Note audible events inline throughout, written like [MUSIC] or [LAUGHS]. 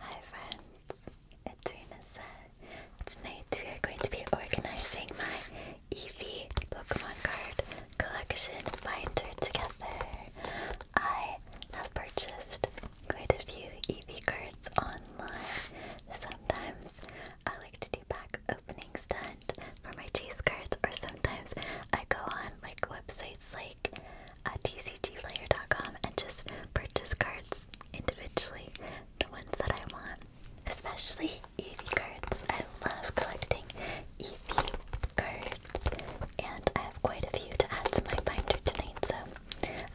Hi friends, it's Rina Tonight we are going to be organizing my EV Pokemon card collection binder together. I have purchased quite a few EV cards online. Sometimes I like to do pack opening stunt for my chase cards or sometimes I go on like websites like at tcgplayer.com and just purchase cards individually, the ones that I want, especially EV cards. I love collecting EV cards, and I have quite a few to add to my binder tonight, so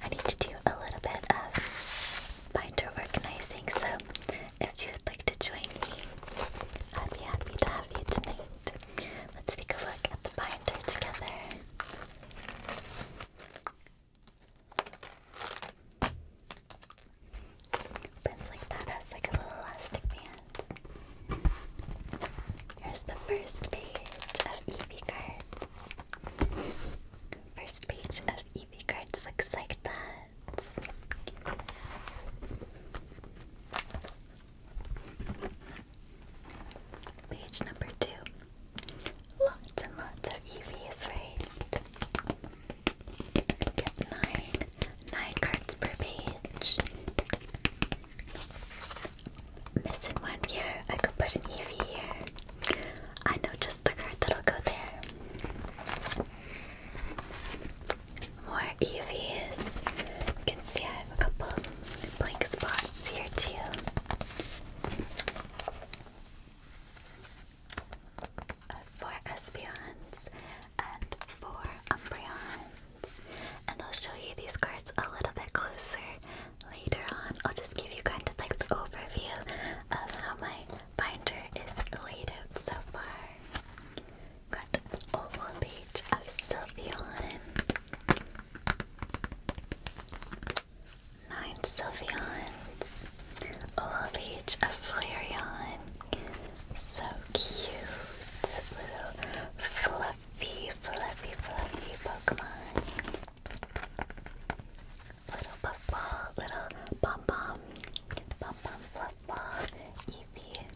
I need to do a little bit of binder organizing. So if you would like to join me, I'd be happy to have you tonight. Let's take a look at the binder together. Opens like that, has like a little elastic band. Here's the first page of EV cards. First page of EV cards looks like that. Page number two. Lots and lots of EVs, right? nine, nine cards per page. Missing one here. I could put an EV here. I know just the card that'll go there. More EVs. You can see I a couple blank spots here too. Uh, four Espeons and four Umbreons. And I'll show you these cards a little bit closer later on. I'll just give you kind of like the overview of how my binder is laid out so far. Got Old Age of Sylveon, Nine Sylveons, all each a Flareon. So cute, little fluffy, fluffy, fluffy Pokemon. Little puffball, little pom pom, pom pom fluffball, Eevee,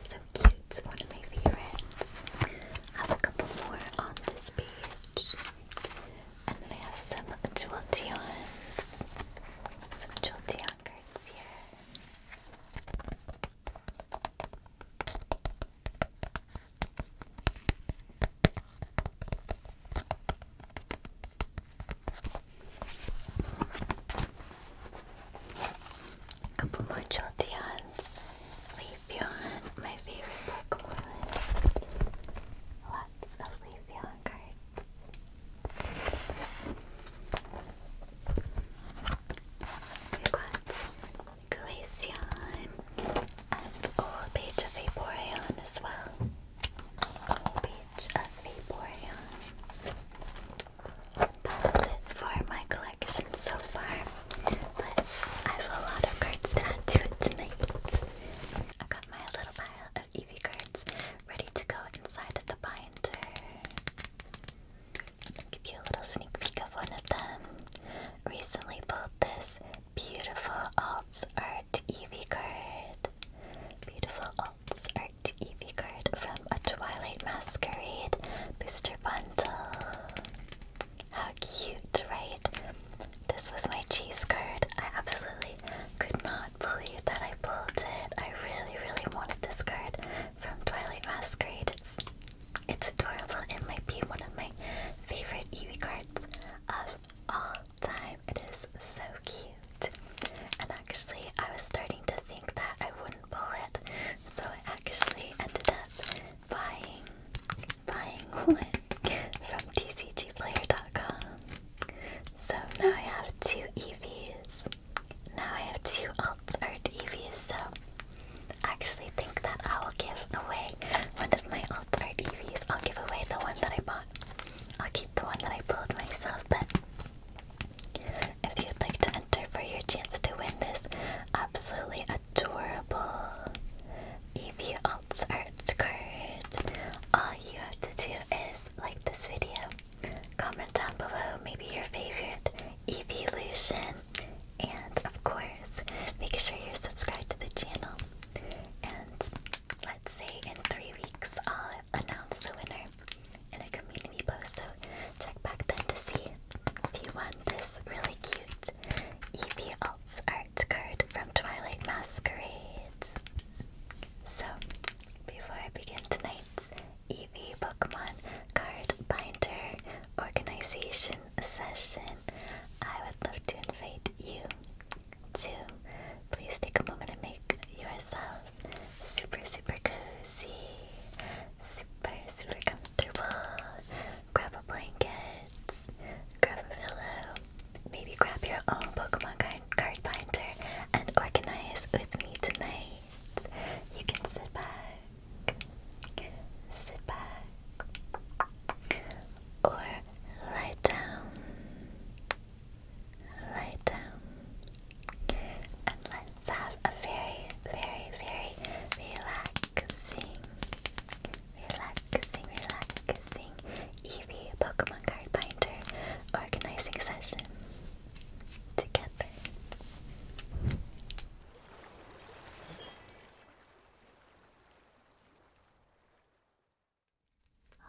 so cute, one of my favorites. I have a couple more on this page. And I have some Jolteons. Some Jolteon cards here. A couple more Jolteons. Leafeon, my favorite Pokemon. Lots of Leafeon cards. We've got Glaceon and Old Page of Vaporeon as well. Old Page of Vaporeon that was it for my collection so far. But I have a lot of cards to add to it tonight. I have got my little pile of Eevee cards ready to go inside of the binder. I'll give you a little sneak peek of one of them. Recently bought this beautiful Alts Art Eevee card. Beautiful Alts Art Eevee card from a Twilight Masquerade booster bundle. How cute, right? This was my cheese card. I absolutely could not believe that I pulled it. I really, really wanted this card from Twilight Masquerade. It's, it's adorable. It might be one of my favorite Eevee cards of all time. It is so cute. And actually, I was starting to think that I wouldn't pull it, so it actually ended up buying buying one from TCGplayer.com. So now I have two EVs. Now I have two alt art EVs. So I actually think that I will give away one of my alt art EVs. I'll give away the one that I bought. I'll keep the one that I pulled myself, but if you'd like to enter for your chance to win this absolutely adorable Eevee Alts art card. All you have to do is like this video, comment down below maybe your favorite Evolution, and of course, make sure you're subscribed to the channel. And let's say in three weeks, I'll announce the winner in a community post, check back then to see if you want this really cute Eevee Alts art card from Twilight Masquerade. So, before I begin tonight's EV Pokemon card binder organization session, I would love to invite you to please take a moment and make yourself super, super cozy super, super comfortable. Grab a blanket, grab a pillow, maybe grab your own Pokemon card, card binder and organize with me tonight. You can sit back, sit back, or lie down, lie down, and let's have a very, very, very relaxing relaxing, relaxing Eevee Pokemon card binder organizing session together.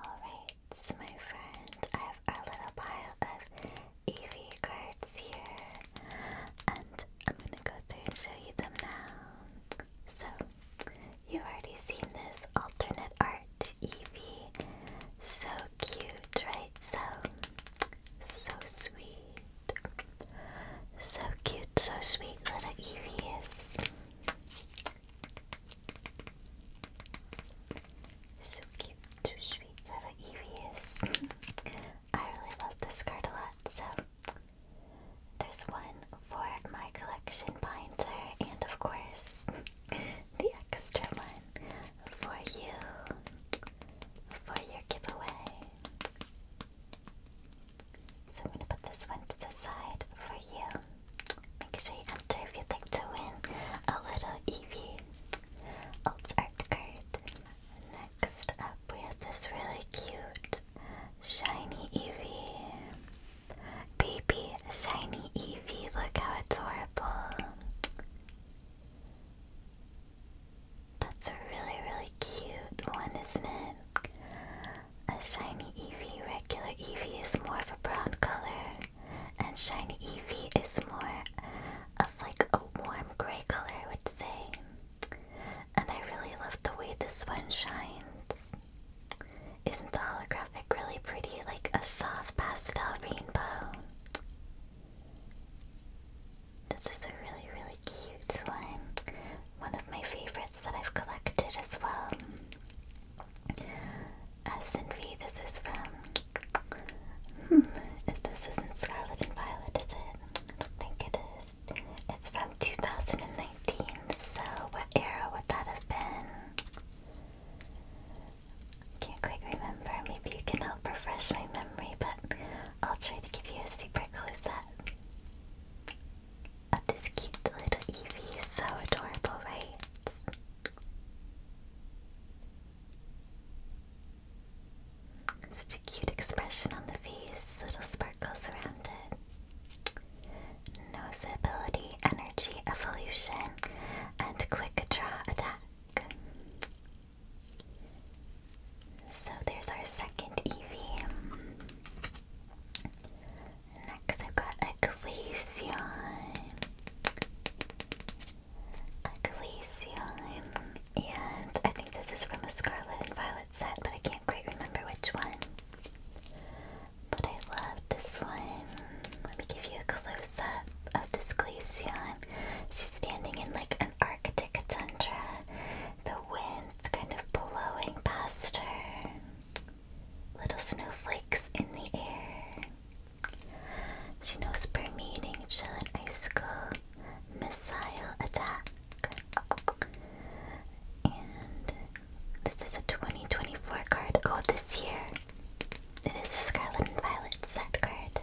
Alright, my friends, I have our little pile of Eevee cards here, and I'm gonna go through and show you them now. So, you've already seen this alternate art Eevee. So cute, right? So, so sweet. So cute, so sweet little Eevee is. So cute, too sweet little Eevee is. [LAUGHS] I really love this card a lot, so there's one for my collection binder, and of course, [LAUGHS] the extra one for you for your giveaway. So I'm gonna put this one to the side for you. Make sure you enter if you'd like to win a little Eevee alt art card. Next up, we have this really cute shiny EV Baby shiny Eevee, look how adorable. That's a really, really cute one, isn't it? A shiny EV, regular EV is more of a brown color, and shiny EV is more of like a warm gray color, I would say. And I really love the way this one shines. Isn't the holographic really pretty? Like a soft pastel rainbow. This is a really, really cute one. One of my favorites that I've collected as well. S and V, this is from. Hmm, if this isn't Scarlet and Violet, is it? I don't think it is it's from 2019, so what era would that have been? Can't quite remember. Maybe you can help refresh my memory, but I'll try to give you a super close up of this cute little Eevee. So adorable, right? Such a cute expression on the face, little sparkles around it. Noseability, energy, evolution, and quick draw attack. So there's our second Eevee. Next I've got Glaceon. Glaceon. And I think this is from Scarlet and Violet what but I can't quite remember which one. But I love this one. Let me give you a close up of this Glaceon. She's standing in like an Arctic tundra. The wind's kind of blowing past her. Little snowflakes in the air. She knows per meeting shall an icicle missile attack. Good. And this is a 2024 card. Oh, this year. It is a Scarlet and Violet set card.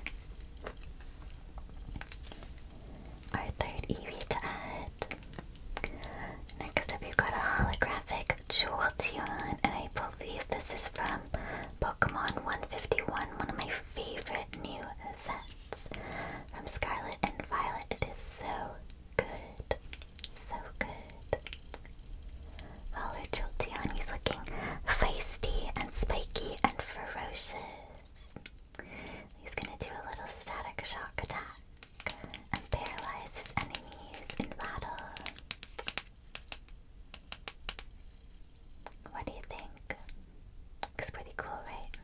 Our third Eevee to add. Next up, we've got a holographic Jolteon, and I believe this is from Pokemon 151, one of my favorite new sets from Scarlet and Violet. It is so good. So good. Valor Jolteon, he's looking feisty and spiky and ferocious. He's gonna do a little static shock attack and paralyze his enemies in battle. What do you think? Looks pretty cool, right?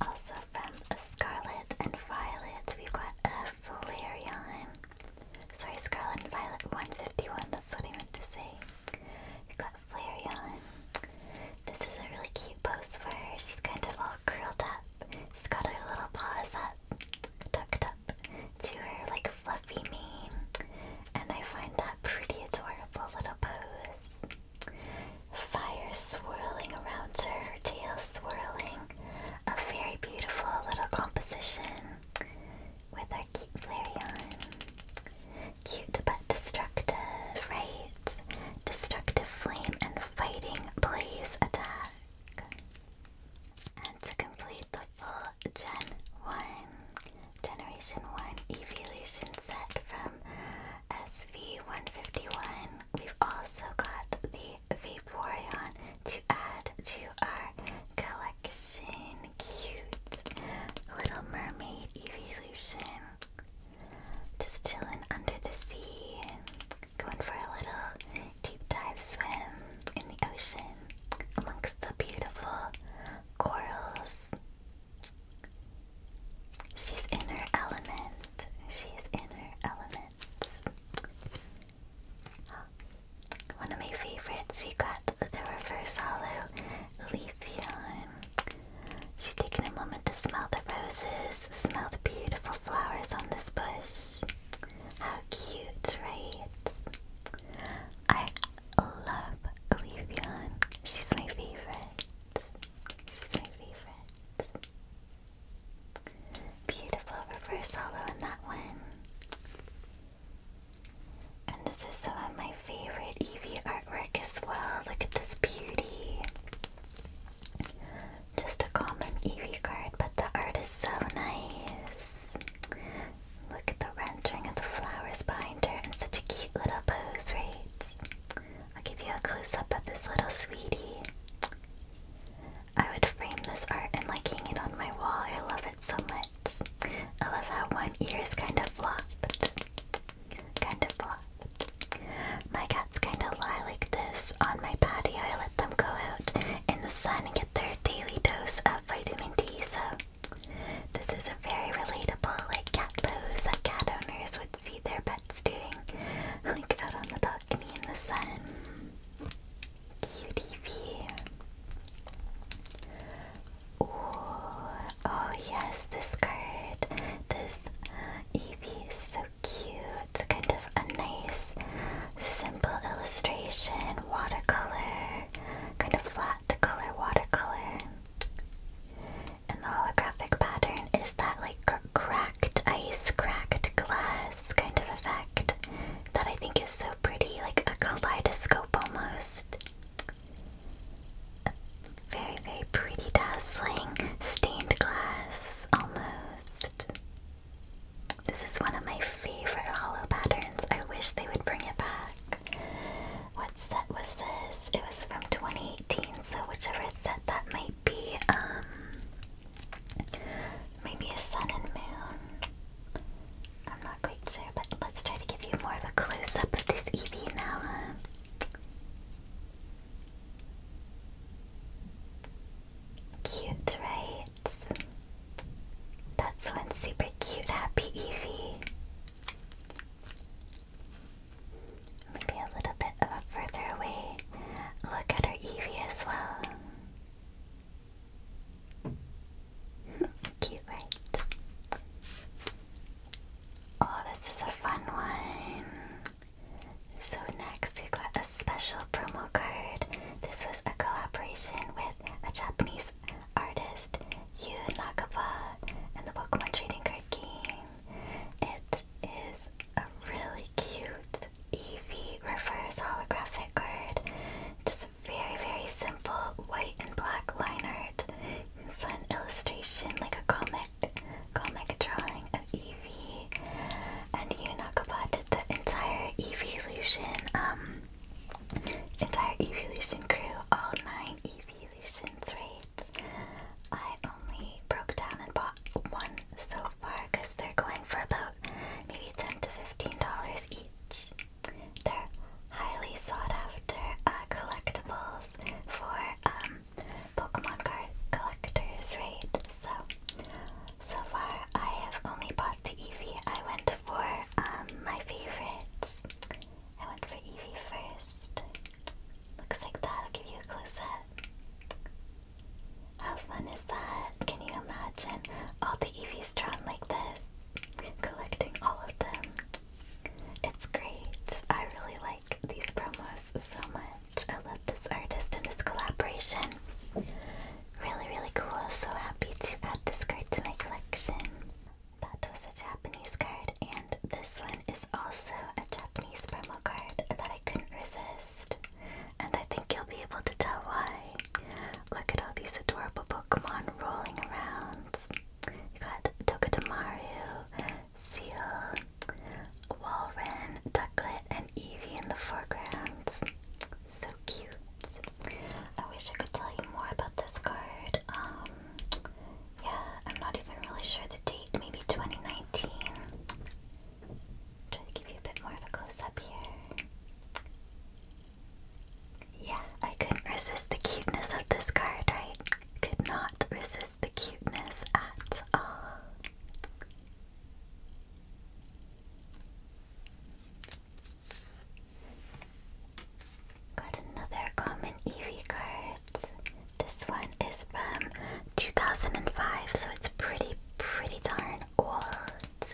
Also from a Scarlet and Violet, we've got a Flareon. Sorry, Scarlet and Violet 151, that's what I meant to say. We've got Flareon. This is a really cute pose for her. She's kind of all curled up. She's got her little paws up, tucked up to her like fluffy mane. And I find that pretty adorable little pose. Fire swirling around her, tail swirling. A very beautiful little composition with our cute Flareon. Cute but destructive, right? Destructive flame and fighting blaze attack. And to complete the full Gen 1, Generation 1 Evolution set from SV151. We've also got the Vaporeon to add to our collection. Cute Little Mermaid Evolution. Just chilling under the sea, going for a little deep dive swim in the ocean amongst the beautiful corals. She's in her element. She's in her element. One of my favorites, we got the reverse hollow Leafeon. She's taking a moment to smell the roses, smell the beautiful flowers on this bush. How cute, right? I love Leafeon. She's my favorite. She's my favorite. Beautiful reverse hollow in that one. And this is some of my favorite Eevee artwork as well. Look at this beauty. Just a common Eevee card, but the art is so nice. Look at the rendering of the flowers behind in such a cute little pose, right? I'll give you a close up of this little sweetie. I would frame this art and like hang it on my wall. I love it so much. I love how one ear is kind of flopped. Kind of flopped. My cats kind of lie like this on my patio. I let them go out in the sun and get their daily dose of vitamin D. So this is a very relatable, like cat lows that cat owners would see their pets doing, like out on the balcony in the sun. Cutie view. Ooh, oh yes, this card, this Eevee is so cute. Kind of a nice, simple illustration, watercolor, kind of flat color watercolor. And the holographic pattern is that like cracked ice, cracked glass kind of effect that I think is so pretty, like a kaleidoscope almost. very, very pretty, dazzling stained glass almost. This is one of my favorite hollow patterns. I wish they would bring it back. What set was this? It was from 2018, so whichever set that might be, um, maybe a sun and moon. I'm not quite sure, but let's try to give you more of a close up of this Eevee now, Cute, right? That's one super cute, happy Eevee. Maybe a little bit of a further away look at our Eevee as well. [LAUGHS] Cute, right? Oh, this is a fun one. So next we've got a special promo card. This was a collaboration with a Japanese artist, Yu Nakaba, and the Pokemon Trading Card game. It is a really cute EV reverse holographic card. Just very, very simple white and black line art. Fun illustration, like a comic, comic drawing of EV. And Yu Nakaba did the entire Eevee illusion, um, entire Eevee illusion crew, all nine Eevee solutions, right? I only broke down and bought one so far because they're going for about maybe 10 to $15 each. They're highly sought after uh, collectibles for um, Pokemon card collectors, right? So, so far I have only bought the Eevee. I went for um, my favorites. I went for Eevee first. Looks like that. I'll give you a close up. How fun is that? Can you imagine all the EVs drawn like this? Collecting all of them. It's great. I really like these promos so much. I love this artist and this collaboration. Really, really cool. So happy to add this card to my collection. That was a Japanese card, and this one is also a Japanese promo card that I couldn't resist. And I think you'll be able to tell why. Look at all these adorable Pokemon rolling around. You got Tokotamaru, Seal, Walren, Ducklet, and Evie in the foreground. So cute. I wish I could tell you more about this card. Um, yeah, I'm not even really sure the date, maybe 2019. Try to give you a bit more of a close up here. Yeah, I couldn't resist the cuteness of this card, right? Could not resist the cuteness at all. Got another common Eevee card. This one is from 2005, so it's pretty, pretty darn old.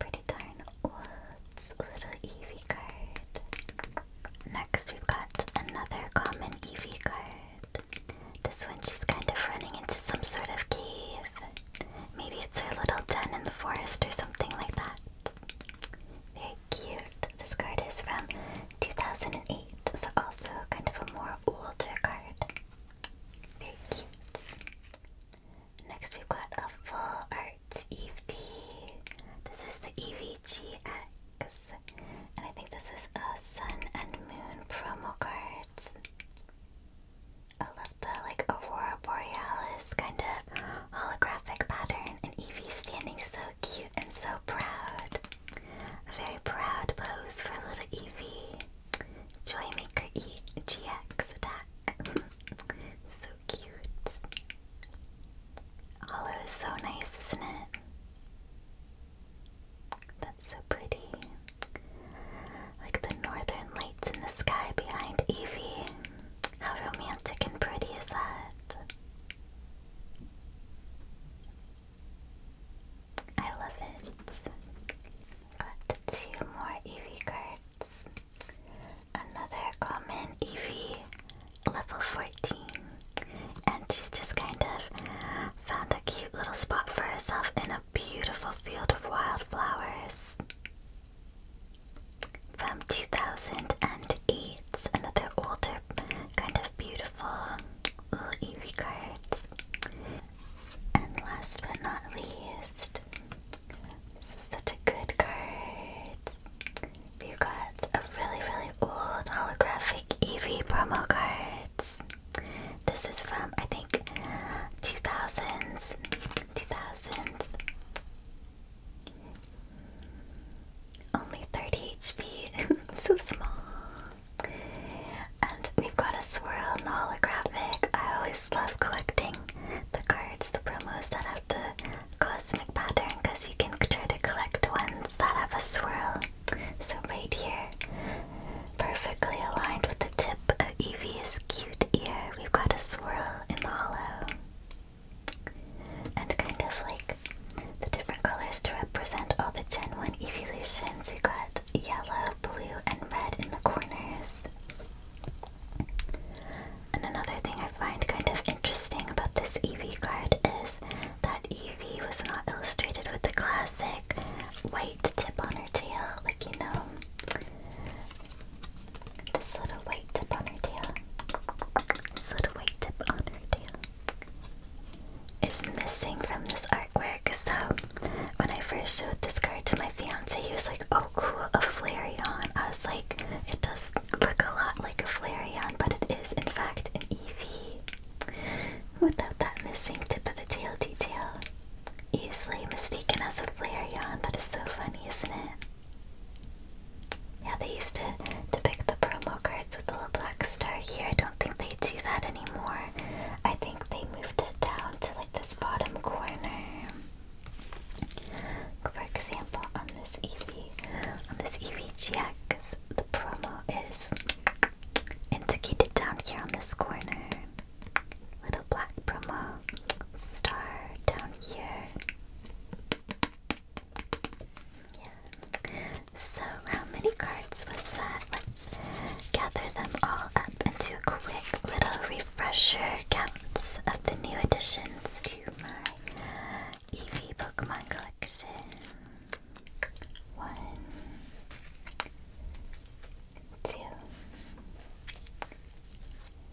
Pretty darn old little Eevee card. Next, we've got another common Eevee card. This one, she's kind of running into some sort of cave. Maybe it's her little den in the forest or something like that. Very cute. This card is from 2008, so also kind of a more older card. Very cute. Next we've got a full art Eevee. This is the EVGX. And I think this is a sun and moon promo cards. I love the like Aurora Borealis kind of holographic pattern, and Evie standing so cute and so proud. A very proud pose for little Evie. Joymaker E GX attack. [LAUGHS] so cute. Hollow is so nice, isn't it? That's so pretty. Like the northern lights in the sky behind Evie. How romantic and pretty is that? I love it. Got two more Eevee cards. Another common Eevee, level 14. And she's just kind of found a cute little spot for herself in a beautiful field of wildflowers from 2008. Another older, kind of beautiful little Eevee And last but not least, this is such a good card. We've got a really, really old holographic EV promo cards. This is from, I think, 2000s, 2000s. Only 30 HP, [LAUGHS] so small. And we've got a swirl in the holographic. I always love collecting the cards, the promos that have the cosmic pattern, because you can try to collect ones that have a swirl. So, right here, perfectly aligned with the tip of Evie's cute ear, we've got a swirl in the hollow. And kind of like the different colors to represent all the Gen 1 evolutions. You got yellow, blue, and red in the corners. And another thing I find kind of interesting about this EV card is that EV was not illustrated with the classic white tip on her tail, like you know. This little white tip on her tail. little white tip on her tail is missing from this artwork. So when I first showed this card to my fiance, he was like, "Oh, cool, a Flareon." I was like, "It does look a lot like a Flareon, but it is in fact an EV. without that missing tip of the tail detail." Easily mistaken as a Flareon. That is so funny, isn't it? Yeah, they used to, to pick the promo cards with the little black star here. I don't think they do that anymore. I think they moved it down to like this bottom corner. For example, on this Eevee, on this Eevee GX, the promo is indicated down here on this corner. Little black promo star down here. Yeah. So, how many cards was that? Let's gather them all up into a quick little refresher counts of the new additions to my EV Pokemon collection. One, two,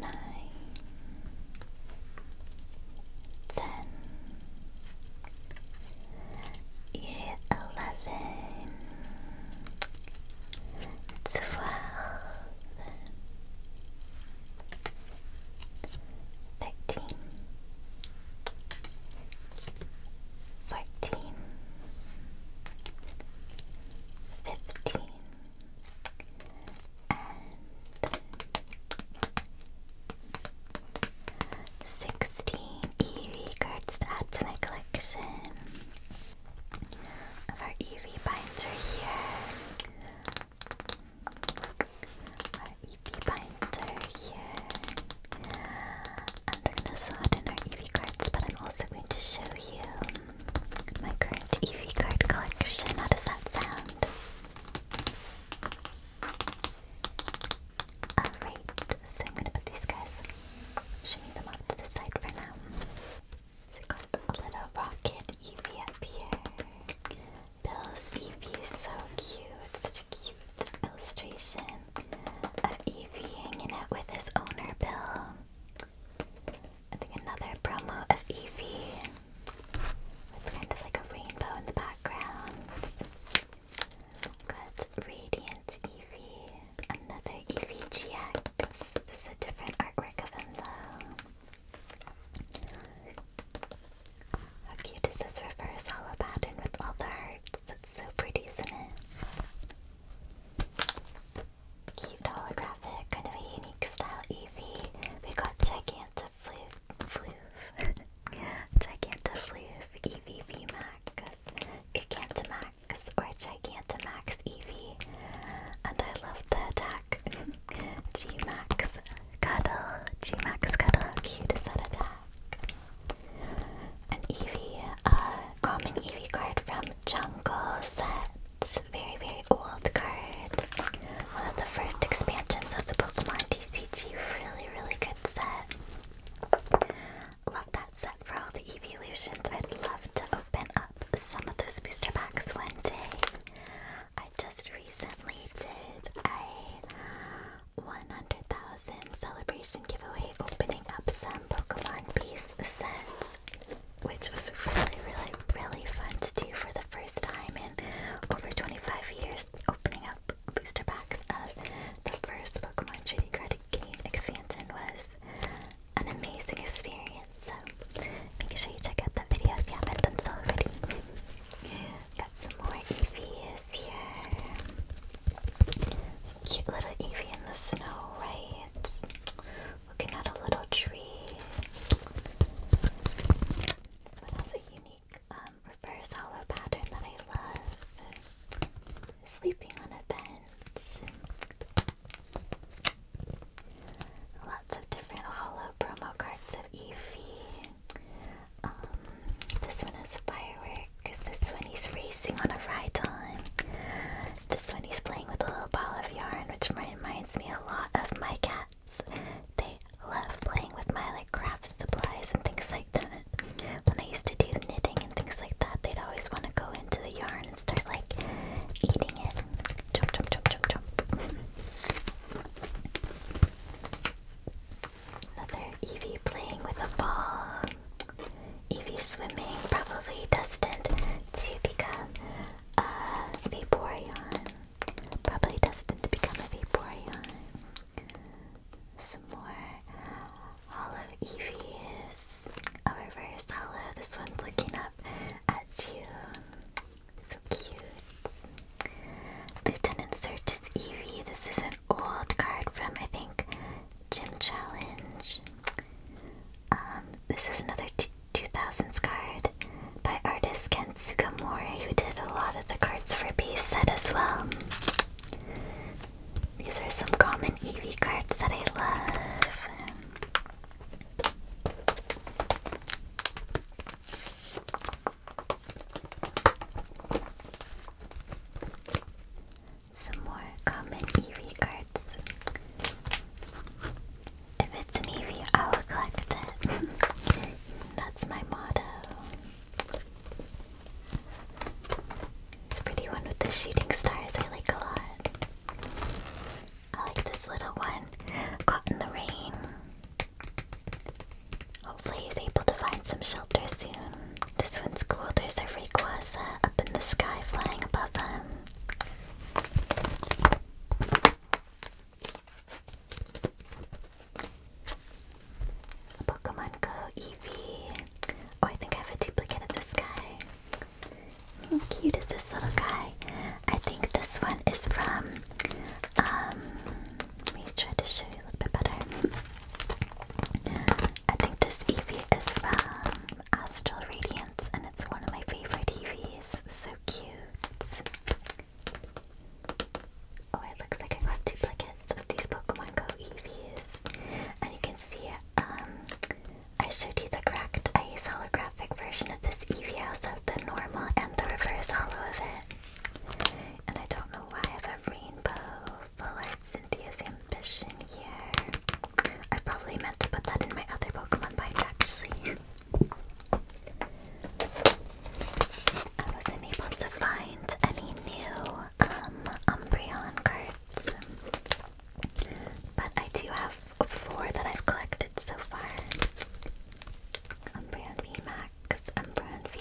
nine, ten, year eleven, twelve, thirteen, fourteen, fifteen. 16 EV cards to add to my collection of EV Eevee binder here. Our Eevee binder here. And we're going to slot in our Eevee cards, but I'm also going to show you my current EV card collection. How does that sound? Alright, so I'm gonna put these guys, shimmy them off to the side for now. So I got a little rocket Eevee here. Bill's Eevee is so cute, such a cute illustration of Eevee hanging out with his owner, Bill. I think another promo of Evie with kind of like a rainbow in the background. got Radiant Eevee, another Eevee GX. This is a different artwork of him though. How cute is this reverse hollow pattern with all the hearts? It's so pretty, isn't it? Cute holographic, kind of a unique style EV. We got Gigantifloof, Floof, [LAUGHS] Gigantifloof, Eevee VMAX, Gigantamax, or Max EV. And I love the attack. [LAUGHS] Gmax Cuddle, Gmax Cuddle, how cute is that attack? An EV, a uh, common EV card from Jungle Set. It's a very, very old card. One of the first expansions of the Pokemon TCG. Really, really good set. Love that set for all the evolutions. I'd love to open up some of those booster packs one day. I just recently did a 100,000 celebration giveaway opening up some Pokemon piece sets which was really, really, really fun to do for the first time in over 25 years, opening up booster packs of the first Pokemon Trading Card Game expansion was an amazing experience. So make sure you check out that video if you haven't done so already. [LAUGHS] Got some more Eevees here. Cute little Eevee in the snow, right? Looking at a little tree. This one has a unique um, reverse hollow pattern that I love. Sleeping on a bench. Lots of different hollow promo cards of Eevee. Um, this one has fireworks. This one he's racing on a ride on. This one he's playing with a little ball of yarn, which reminds me a lot of my cats. They love playing with my like craft supplies and things like that. When I used to do knitting and things like that, they'd always want to go into the yarn and start like eating it. Jump, jump, jump, jump, jump. Another Evie playing with a ball. Evie swimming, probably destined to become uh, Vaporeon. Probably destined to become a Vaporeon. Some more. Hollow Eevee is a reverse hollow. This one's looking up at you. So cute. Lieutenant Search is This is an old card from, I think, Gym Challenge. Um, this is another 2000s card by artist Ken Sugamori, who did a lot of the cards for Beast set as well. These are some common EV cards that I love. Some more common EV cards. If it's an EV, I will collect it. [LAUGHS] That's my motto. This pretty one with the shooting stars I like a lot. I like this little one caught in the rain. Hopefully he's able to find some shelter soon. This one's cool. There's a Rayquaza up in the sky flying above him. Pokemon Go Eevee. Oh, I think I have a duplicate of this guy. How cute is this little guy? I think this one is from. Um, let me try to show you a little bit better. I think this EV is from Astral Radiance, and it's one of my favorite EVs. So cute. Oh, it looks like I got duplicates of these Pokemon Go EVs. And you can see, um, I showed you the cracked ice holographic version of this EV. I the normal and the reverse hollow of it. And I don't know why I have a rainbow full art Cynthia's ambition here. I probably meant to put that in my other Pokemon binder actually. I wasn't able to find any new um, Umbreon cards, but I do have four that I've collected so far. Umbreon Max, Umbreon V,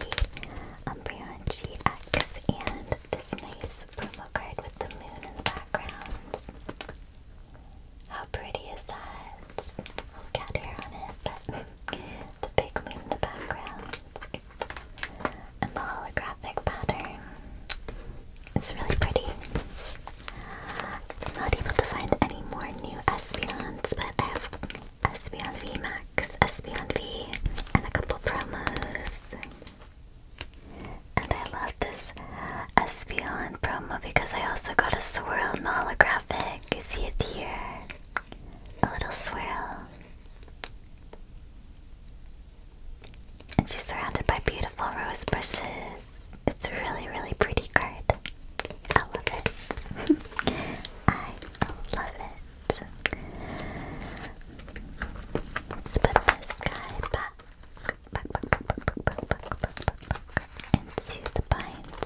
Umbreon GX, and this nice promo card with the moon in the background. How pretty is that? Little cat hair on it, but [LAUGHS] the big moon in the background. And the holographic pattern. It's really pretty. not able to find any more new Espeons, but I have Espeon V Max, Espeon V, and a couple promos. And I love this Espeon promo because I also got a swirl and holographic. You see it here. A little swirl. And she's surrounded by beautiful rose bushes. It's a really, really pretty card. I love it. [LAUGHS] I love it. Let's put this guy back into the binder.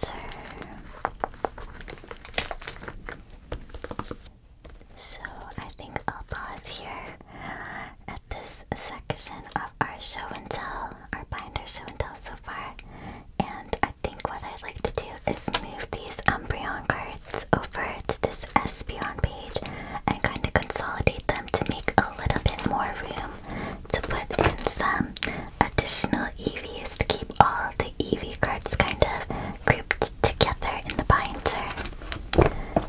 So I think I'll pause here at this section of our show and tell, our binder show and tell so far. And I think what I'd like to do is move these Umbreon cards over to this Espeon page and kind of consolidate them to make a little bit more room to put in some additional EVs to keep all the EV cards kind of grouped together in the binder.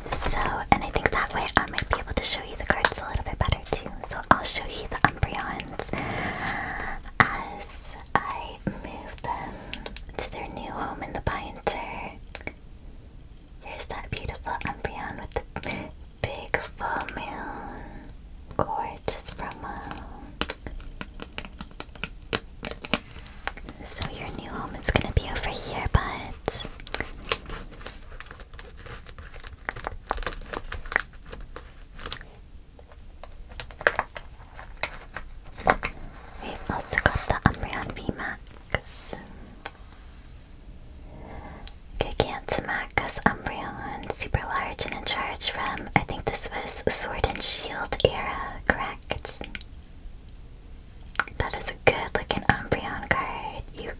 So, and I think that way I might be able to show you the cards a little bit better too. So I'll show you the Umbreons as I move them to their new home in the binder. Here's that beautiful Umbreon with the Big full moon. Gorgeous from So your new home is gonna be over here, but We've also got the Umbreon VMAX. Gigantamax Umbreon, super large and in charge from, I think this was Sword and Shield era, correct? That is a good looking Umbreon card. You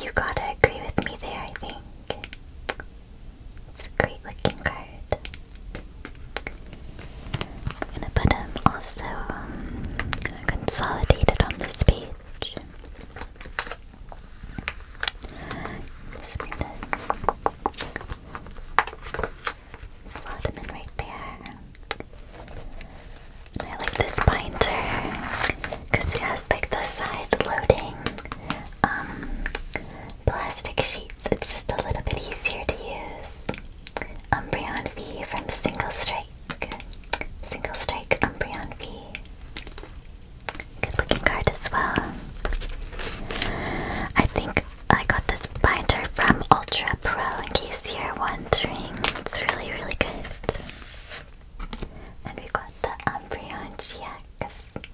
you gotta agree with me there, I think. It's a great looking card. I'm gonna put him also um, consolidated on the page. Just need slot them in right there. I like this binder because it has like the side loading um, plastic sheets. It's just a little bit easier to use. Umbreon V from Single Strike. Single Strike Umbreon V. Good looking card as well. I think I got this binder from Ultra Pro in case you're wondering. It's really, really good. And we got the Umbreon GX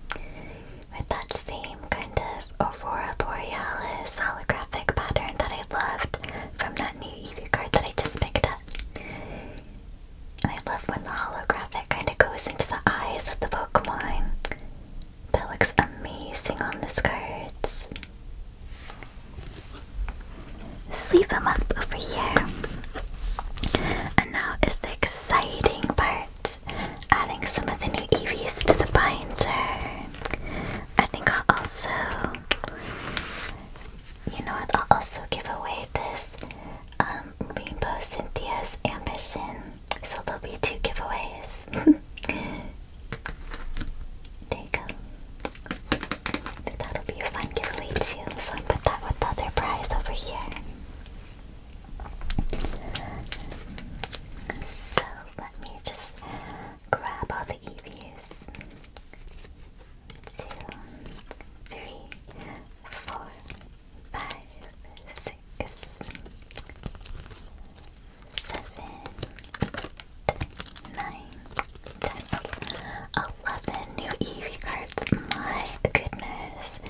with that same kind of Aurora Borealis holographic pattern that I loved from that new Eevee card that I just picked up. I love when the holographic kind of goes into the eyes of the Pokemon. That looks amazing on this card. Sleep him up over here. And now is the exciting part. Adding some of the new EVs to the binder. I think I'll also... You know what? I'll also give away this um, Rainbow Cynthia's ambition. So there'll be two giveaways. [LAUGHS] there you go. That'll be a fun giveaway too. So I put that with other prize over here. So let me just grab all the EVs two, three, four, five, six, seven, nine, ten, eleven new EV cards. My goodness,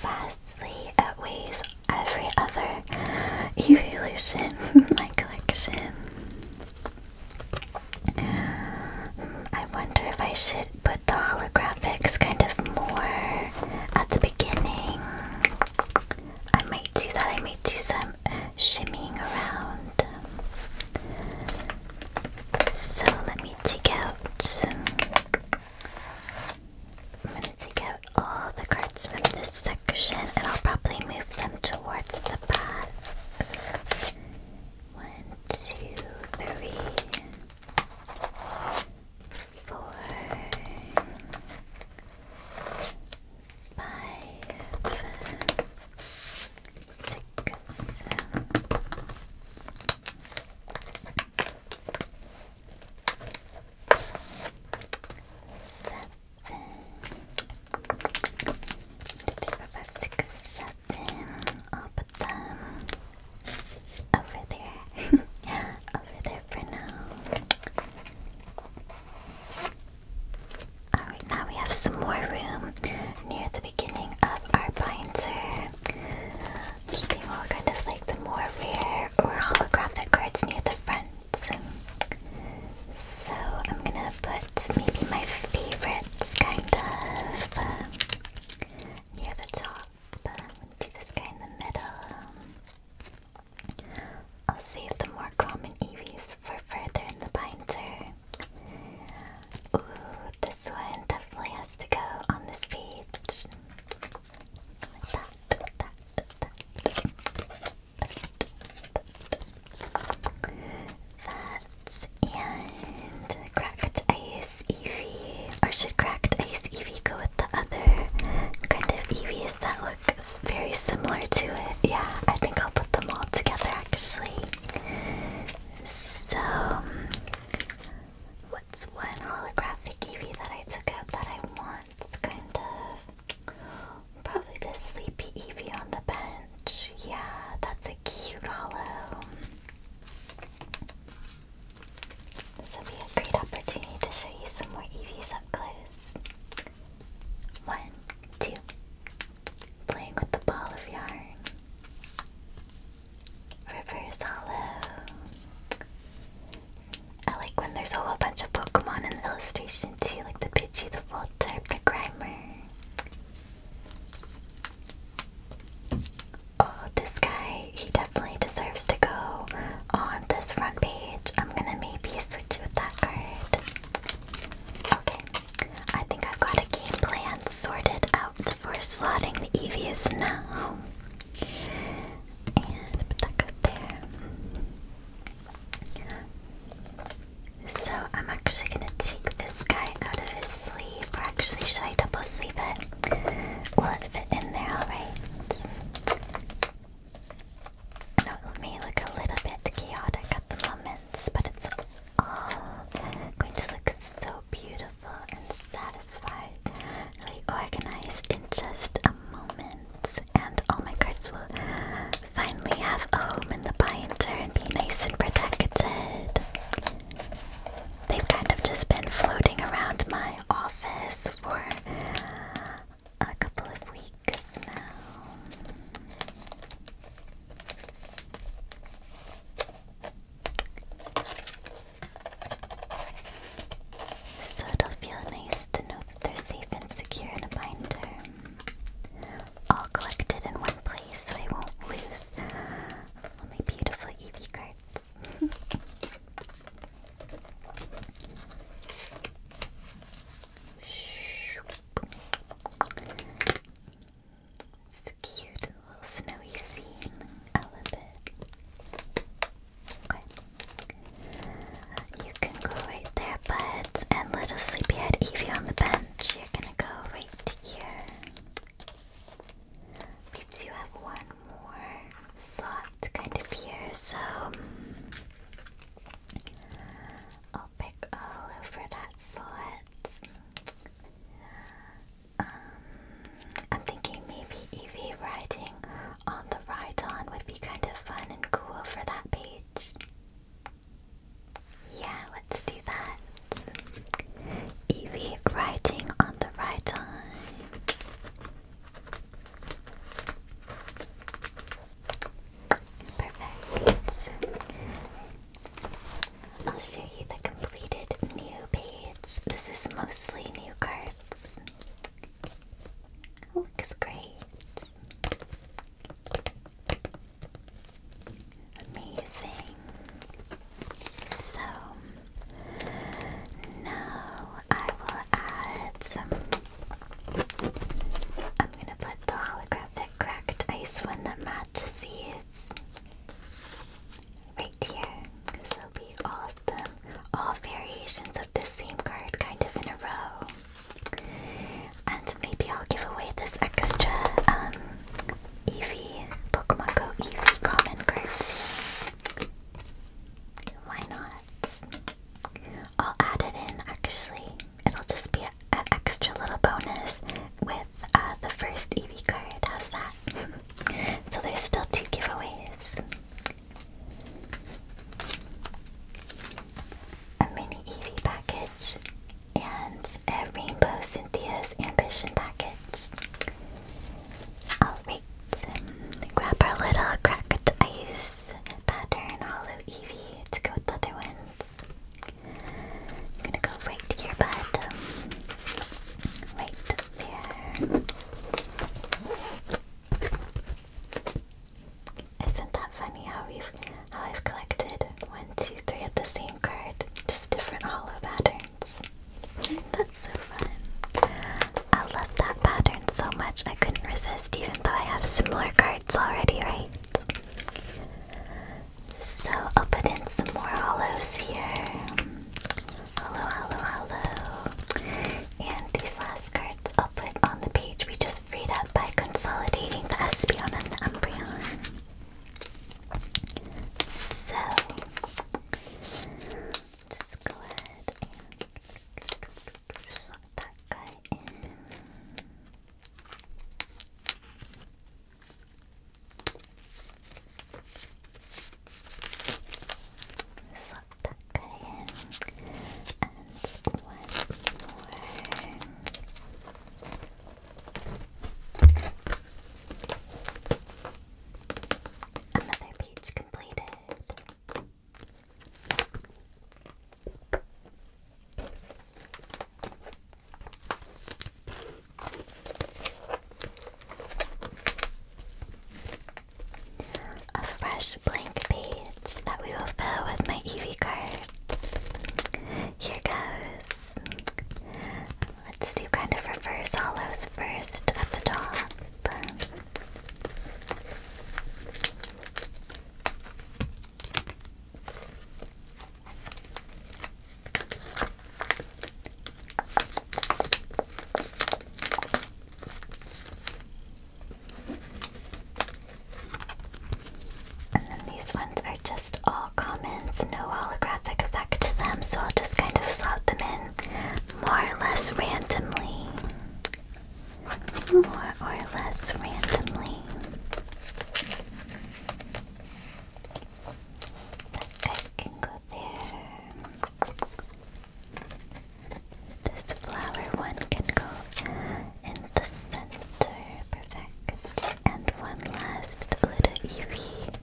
vastly outweighs every other evolution in my collection. I wonder if I should put the holographics kind of more at the beginning. I might do that. I might do some shimmying around. So let me take out. I'm going to take out all the cards from this section and I'll probably move them towards the back. One, two, three four, five, six, seven. Two, three, four, five, six, seven put over there. [LAUGHS] over there for now. now we have some more room near the beginning of our binder. Keeping all kind of like the more rare or holographic cards near the front. So I'm gonna put maybe my favorites kind of near the top. I'm gonna this guy in the middle. I'll save the more common Eevees for further in the binder. Ooh, this one definitely has to go on this page. That and cracked ice EV. Or should cracked ice EV go with the other kind of EVs that look very similar to it? Yeah, I think I'll put them all together actually. So, um, what's one holographic EV that I took out that I want? kind of probably the sleepy EV on the bench. Yeah, that's a cute hollow. This will be a great opportunity to show you some more EVs up close. One, two. Playing with the ball of yarn. Reverse hollow. I like when there's a whole bunch of Pokemon in the illustration too, like the Pidgey, the Voltorb, the Grimer. Oh, this guy, he definitely deserves to go on this front page. I'm gonna maybe switch with that card. Okay, I think I've got a game plan sorted out for slotting the EVs now. And put that card there. So I'm actually gonna take this guy out of his sleeve, or actually should I double sleeve it? Will it fit in there alright? No, it may look a little bit chaotic at the moment, but it's all going to look so beautiful and satisfied, organized in just a moment. And all my cards will finally have a home in the binder and be nice and protected. They've kind of just been floating around my office for a couple of weeks now. So it'll feel nice to know that they're safe and secure in a binder. All collected in one place so I won't lose my beautiful EV cards it's a cute little snowy scene. I love it. Okay. You can go right there, buds, and little sleepyhead Evie on the bench. You're gonna go right here. We do have one more slot kind of here, so I'll pick all over that slot. Um, I'm thinking maybe Eevee riding on the Rhydon would be kind of fun and cool for that page. Yeah, let's do that. Ev writing on the right time. Perfect. I'll show you the completed new page. This is mostly new cards. Oh, looks great. Amazing. So now I will add some. I'm gonna put the holographic cracked ice one that matches these right here. Because there'll be all of them, all variations of this same card kind of in a row. And maybe I'll give away this extra um, Eevee, Pokemon Go Eevee common cards Why not? I'll add it in actually. It'll just be an extra little bonus with uh, the first EV card. How's that? [LAUGHS] so there's still two giveaways. A mini EV package and a Rainbow Cynthia's Ambition package. Alright, um, grab our little cracked ice pattern hollow Eevee. Let's with other ones. I'm gonna go right here, bud. Um, right there. Isn't that funny how we've how I've collected one, two, three at the same card, just different hollow pattern. That's so fun. I love that pattern so much. I couldn't resist, even though I have similar cards already, right? So I'll put in some more hollows here. Hollow, hollow, hollow. And these last cards I'll put on the page we just freed up by consolidating the Espeon and the Umbreon. So just go ahead and just that guy in. Just that guy in. And one more. Another page completed. A fresh blank page that we will fill with my Eevee cards. Here goes. Let's do kind of reverse hollows first at the top. And then these ones are just all comments, no holographic effect to them, so I'll just kind of slot them in more or less randomly. More or less randomly. That can go there. This flower one can go in the center. Perfect. And one last little Eevee.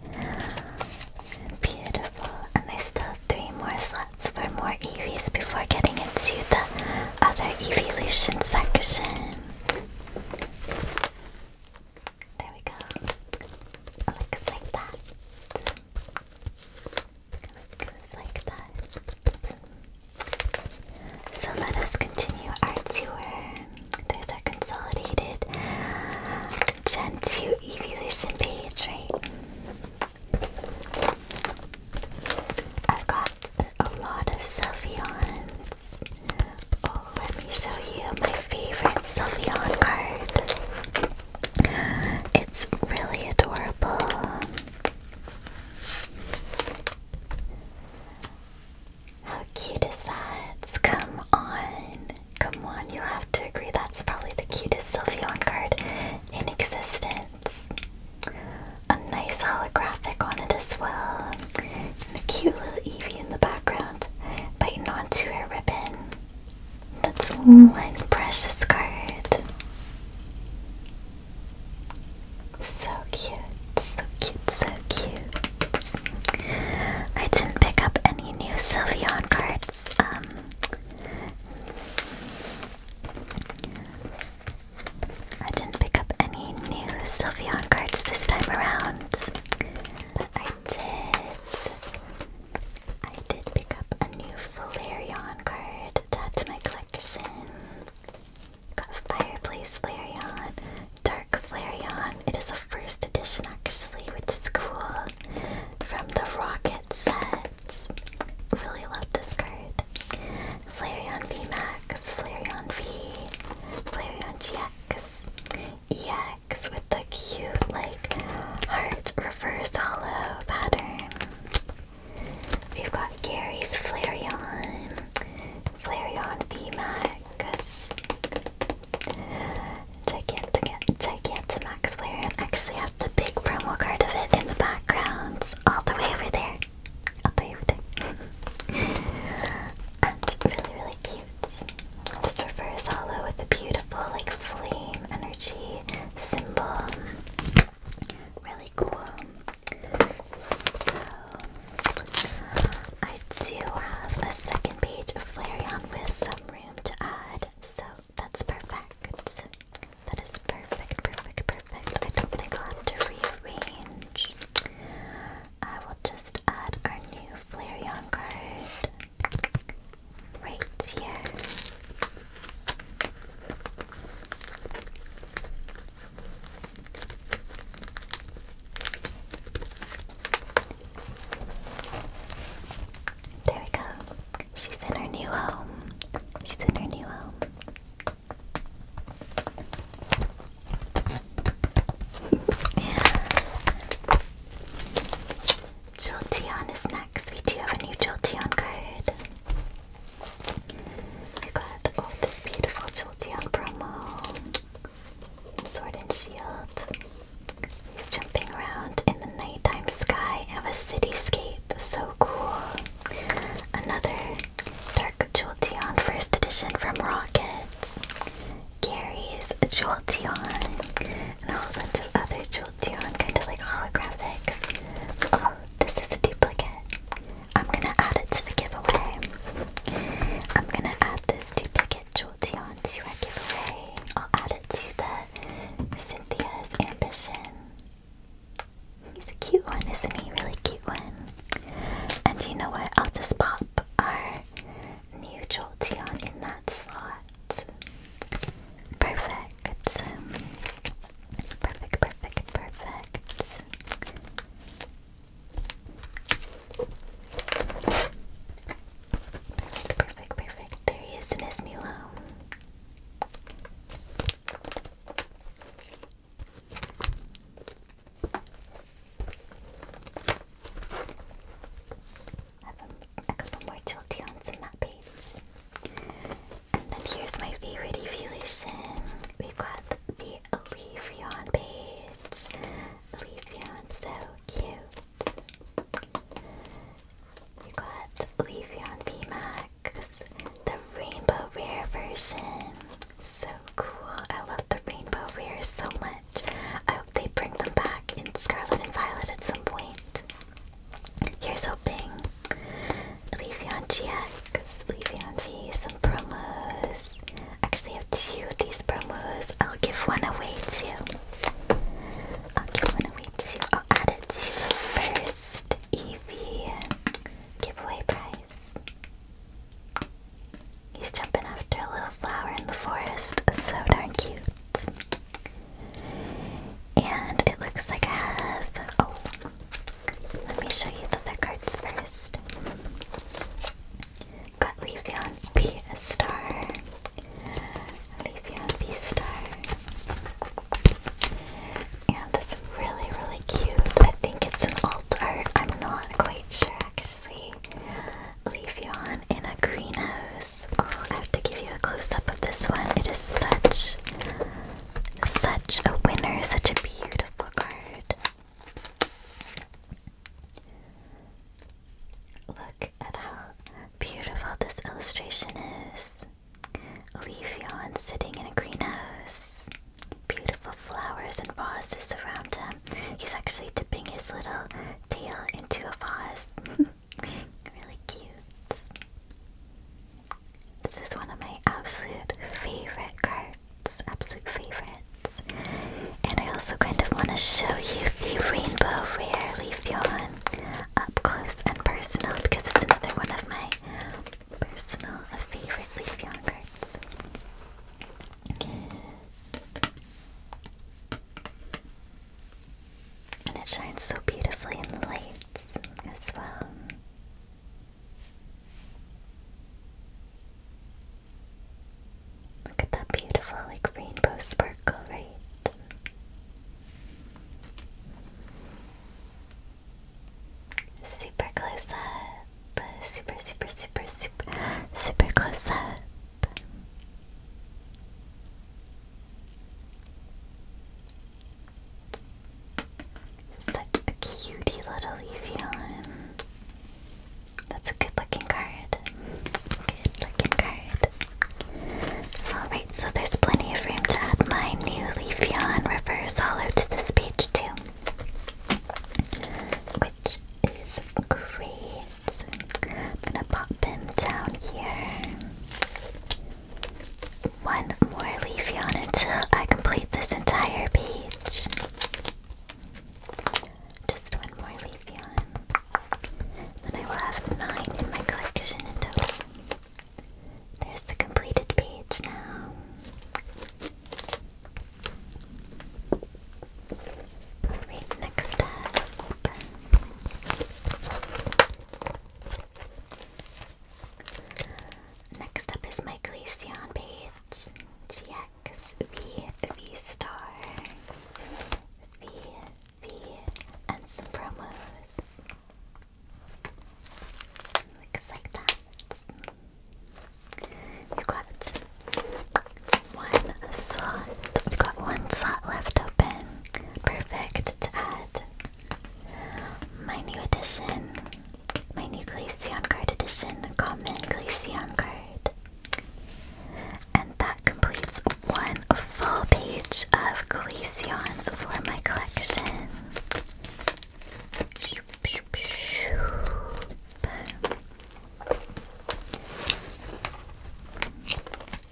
Beautiful. And I still have three more slots for more EVs before getting into the other evolution section. There we go. Looks like that. Looks like that. So let us continue our tour. There's our consolidated Gen 2 evolution page, right? I've got a lot of Sylveons. Oh, let me show you my favorite Sylveon card. It's really adorable. How cute is that? Come on. Come on, you have to agree that's probably the cutest Sylveon card in existence. A nice holographic on it as well. And a cute little Evie in the background biting onto her ribbon. That's one precious card. So cute, so cute, so cute. I didn't pick up any any new Sylvian cards. Um, I didn't pick up any new Sylvian cards this time around. But I did. I did pick up a new Flareon card to add to my collection. Got a Fireplace Flareon, Dark Flareon, it is a first edition actually, which is cool. From the Rocket sets. Really love this card. Flareon VMAX, Flareon V, Flareon GX, EX with the cute like heart reverse hollow pattern. We've got Gary's Flareon, Flareon VMAX. Gigantic Gigantamax player actually have the big promo card of it in the background. All the way over there. All the way over there. and [LAUGHS] really, really cute. Just reverse hollow with a beautiful like flame energy symbol. Really cool. So I do have a second page of Flareon with some room to add so that's perfect. That is perfect, perfect, perfect. I don't think I'll have to rearrange. I will just add our new Flareon card right here. There we go. She's in her new home. She's in her new home. Yeah. [LAUGHS] Jolteon is next. We do have a new Tiana card. I got all this beautiful Tiana promo. Sword and Shield. He's jumping around in the nighttime sky of a cityscape. So cool. Another Dark Jolteon first edition from Rockets. Gary's Jolteon. And a whole bunch of other Jolteon, kind of like holographics. Oh, this is a duplicate. I'm gonna add it to the giveaway. I'm gonna add this duplicate Jolteon to our giveaway. I'll add it to the Cynthia's ambition. He's a cute one, isn't he? Really cute one. And you know what? I'll just pop our new Jolteon in that slot. Perfect. Perfect, perfect, perfect. Perfect, perfect, perfect. There he is in his new home. have a, couple more Jolteons in that page. And then here's my favorite evolution. We've got the Leafeon page. Leafeon's so cute. You got Leafeon VMAX, the Rainbow Rare version. So cool. I love the Rainbow rares so much. I hope they bring them back in Scarlet and Violet at some point. Here's hoping. Leafeon GX, on V, some promos. Actually, I have two of these promos. I'll give one away too i why don't we do? I'll add it to the first EV giveaway prize. He's jumping after a little flower in the forest. So darn cute. And it looks like I have. Oh, let me show you the other cards first. Got Leafeon, P, a star leave on V-Star. And it's really, really cute. I think it's an alt art. I'm not quite sure, actually. Leafy on in a greenhouse. Oh, I have to give you a close-up of this one. It is such, such a winner. Such a beautiful card. Look at how beautiful this illustration is. Leaf yawn sitting in a greenhouse. Beautiful flowers and vases around him. He's actually dipping his little tail into a vase. [LAUGHS] really cute. This is one of my absolute favorite cards. Absolute favorites. And I also kind of want to show you the rainbow rare leaf yawn up close and personal because it's another one of my personal favorite Leaf Yarn cards. And it shines so beautifully in the lights as well. Look at that beautiful, like, rainbow sparkle, right? Super close up. Super, super, super, super, super close up. Such a cutie little Evian. That's a good looking card. Alright, so there's plenty of room to add my new Leafeon Reverse Hollow to this page too. Which is great. So I'm gonna pop him down here. One more Leafeon until I complete this entire page. Just one more Leafeon. Then I will have nine in my collection in total. There's the completed page now. next up. Next up is my Glaceon page. GX star. V and some promos. Looks like that. We got one slot. We got one slot left open. Perfect to add my new edition, my new Glaceon card edition, common Glaceon card and that completes one full page of Glaceons for my collection.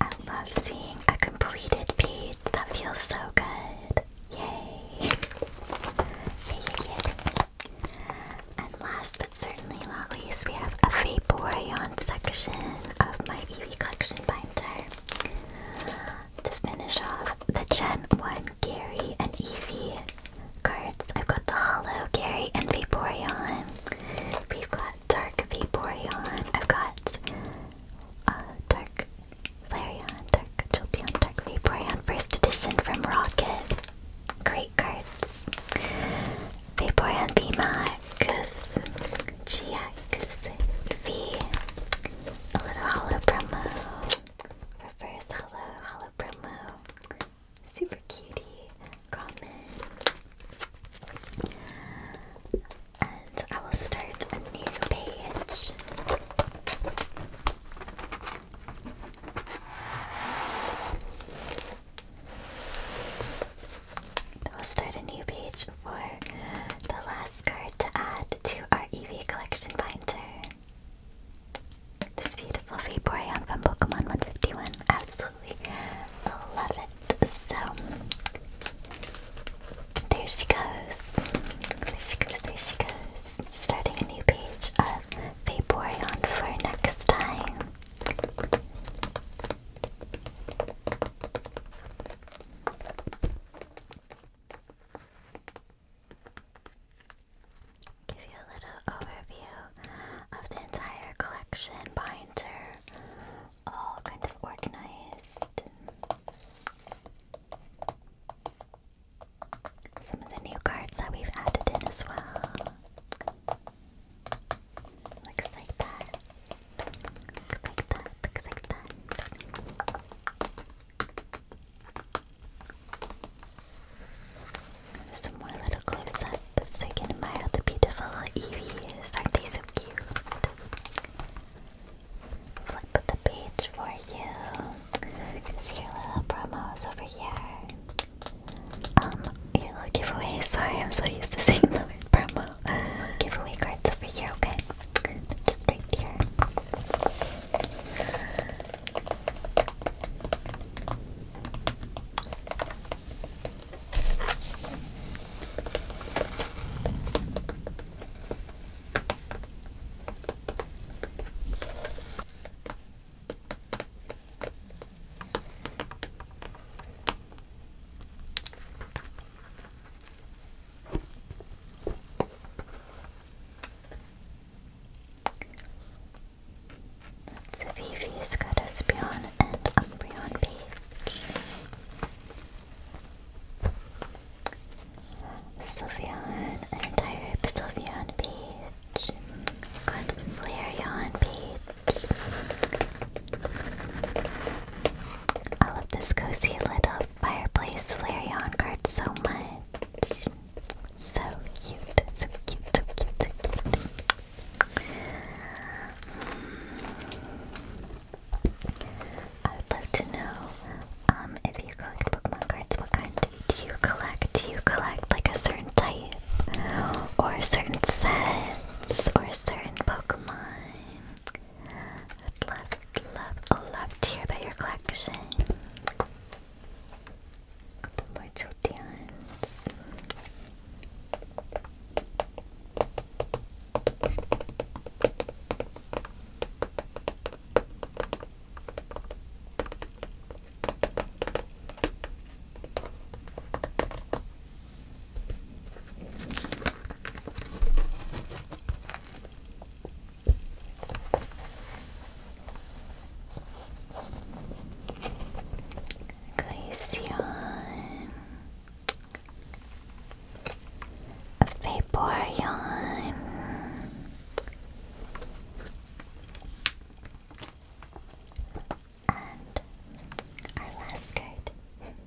I love seeing a completed page. That feels so good. Yay! Yay, yay, And last but certainly not least, we have a Vaporeon section of my Eevee collection binder. To finish off the Gen 1 Gary and Eevee cards, I've got the Hollow Gary and Vaporeon. We've got Dark Vaporeon. I've got uh, Dark Flareon, Dark Jolteon, Dark Vaporeon, first edition from Rocket. Great cards. Vaporeon V Max, cause G V, a little holo promo, reverse holo holo promo, super cutie, common. And I will start a new page. We'll start a new page for the last card to add to our EV collection binder. This beautiful Vaporeon from Pokemon 151. Absolutely love it. So, there she goes. There she goes, there she goes. Starting a new page of Vaporeon for next time. Give you a little overview of the entire collection binder, all kind of organized. Some of the new cards that we've added in as well. Looks like that. Looks like that. Looks like that. Some more little close ups. I can admire the beautiful EVs. Aren't they so cute? Flip the page for you. See your little promos over here. Um, little giveaway. Sorry, I'm so used to seeing [LAUGHS] the word promo uh, giveaway cards over here, okay? Just right here. Savivi's got a Espeon and Umbreon Page. Sylveon, an entire Sylveon Page. Got Flareon Page. I love this cozy little fireplace Flareon card so much. So cute, so cute, so cute, so cute. Hmm. I would like to know um, if you collect Pokemon cards, what kind do you collect? Do you collect like a certain type? Or certain sets? Or certain Pokemon? I'd love, love, love to hear about your collection. Couple more Glaceon Vaporeon and our [LAUGHS]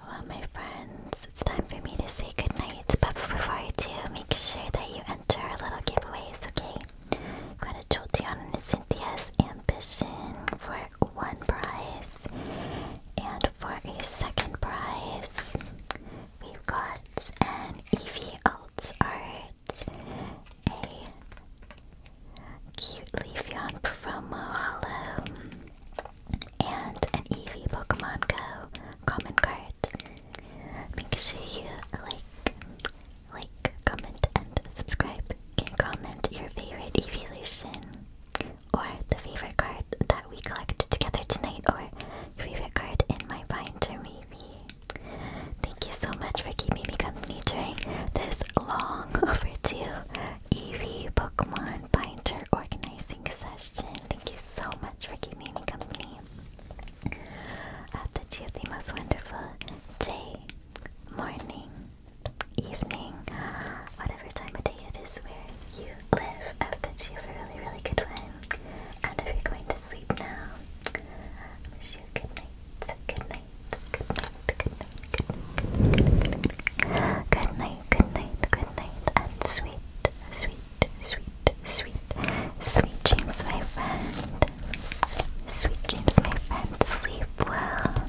Well, my friends, it's time for me to say goodnight. But before I do, make sure that you enter our little giveaways, okay? I'm gonna Jolteon and a Cynthia's Ambition for one prize. And for a second prize, we've got an Eevee Alt Art, a cute Leafeon promo hollow, and an Eevee Pokemon Go common card. Make sure you like, like, comment, and subscribe. You can comment your favorite evolution or the favorite card that we collected together tonight, or your favorite card in my binder, maybe. Thank you so much for keeping me company during this long [LAUGHS] overdue Eevee Pokemon binder organizing session. Thank you so much for keeping me company. I hope that you have the most wonderful day, morning, evening, whatever time of day it is where you Liv, I've got you for a really, really good one. And if you're going to sleep now, I wish you good night. Good night. Good night. Good night. Good night. Good night. Good night. And sweet, sweet, sweet, sweet, sweet dreams, my friend. Sweet dreams, my friend. Sleep well.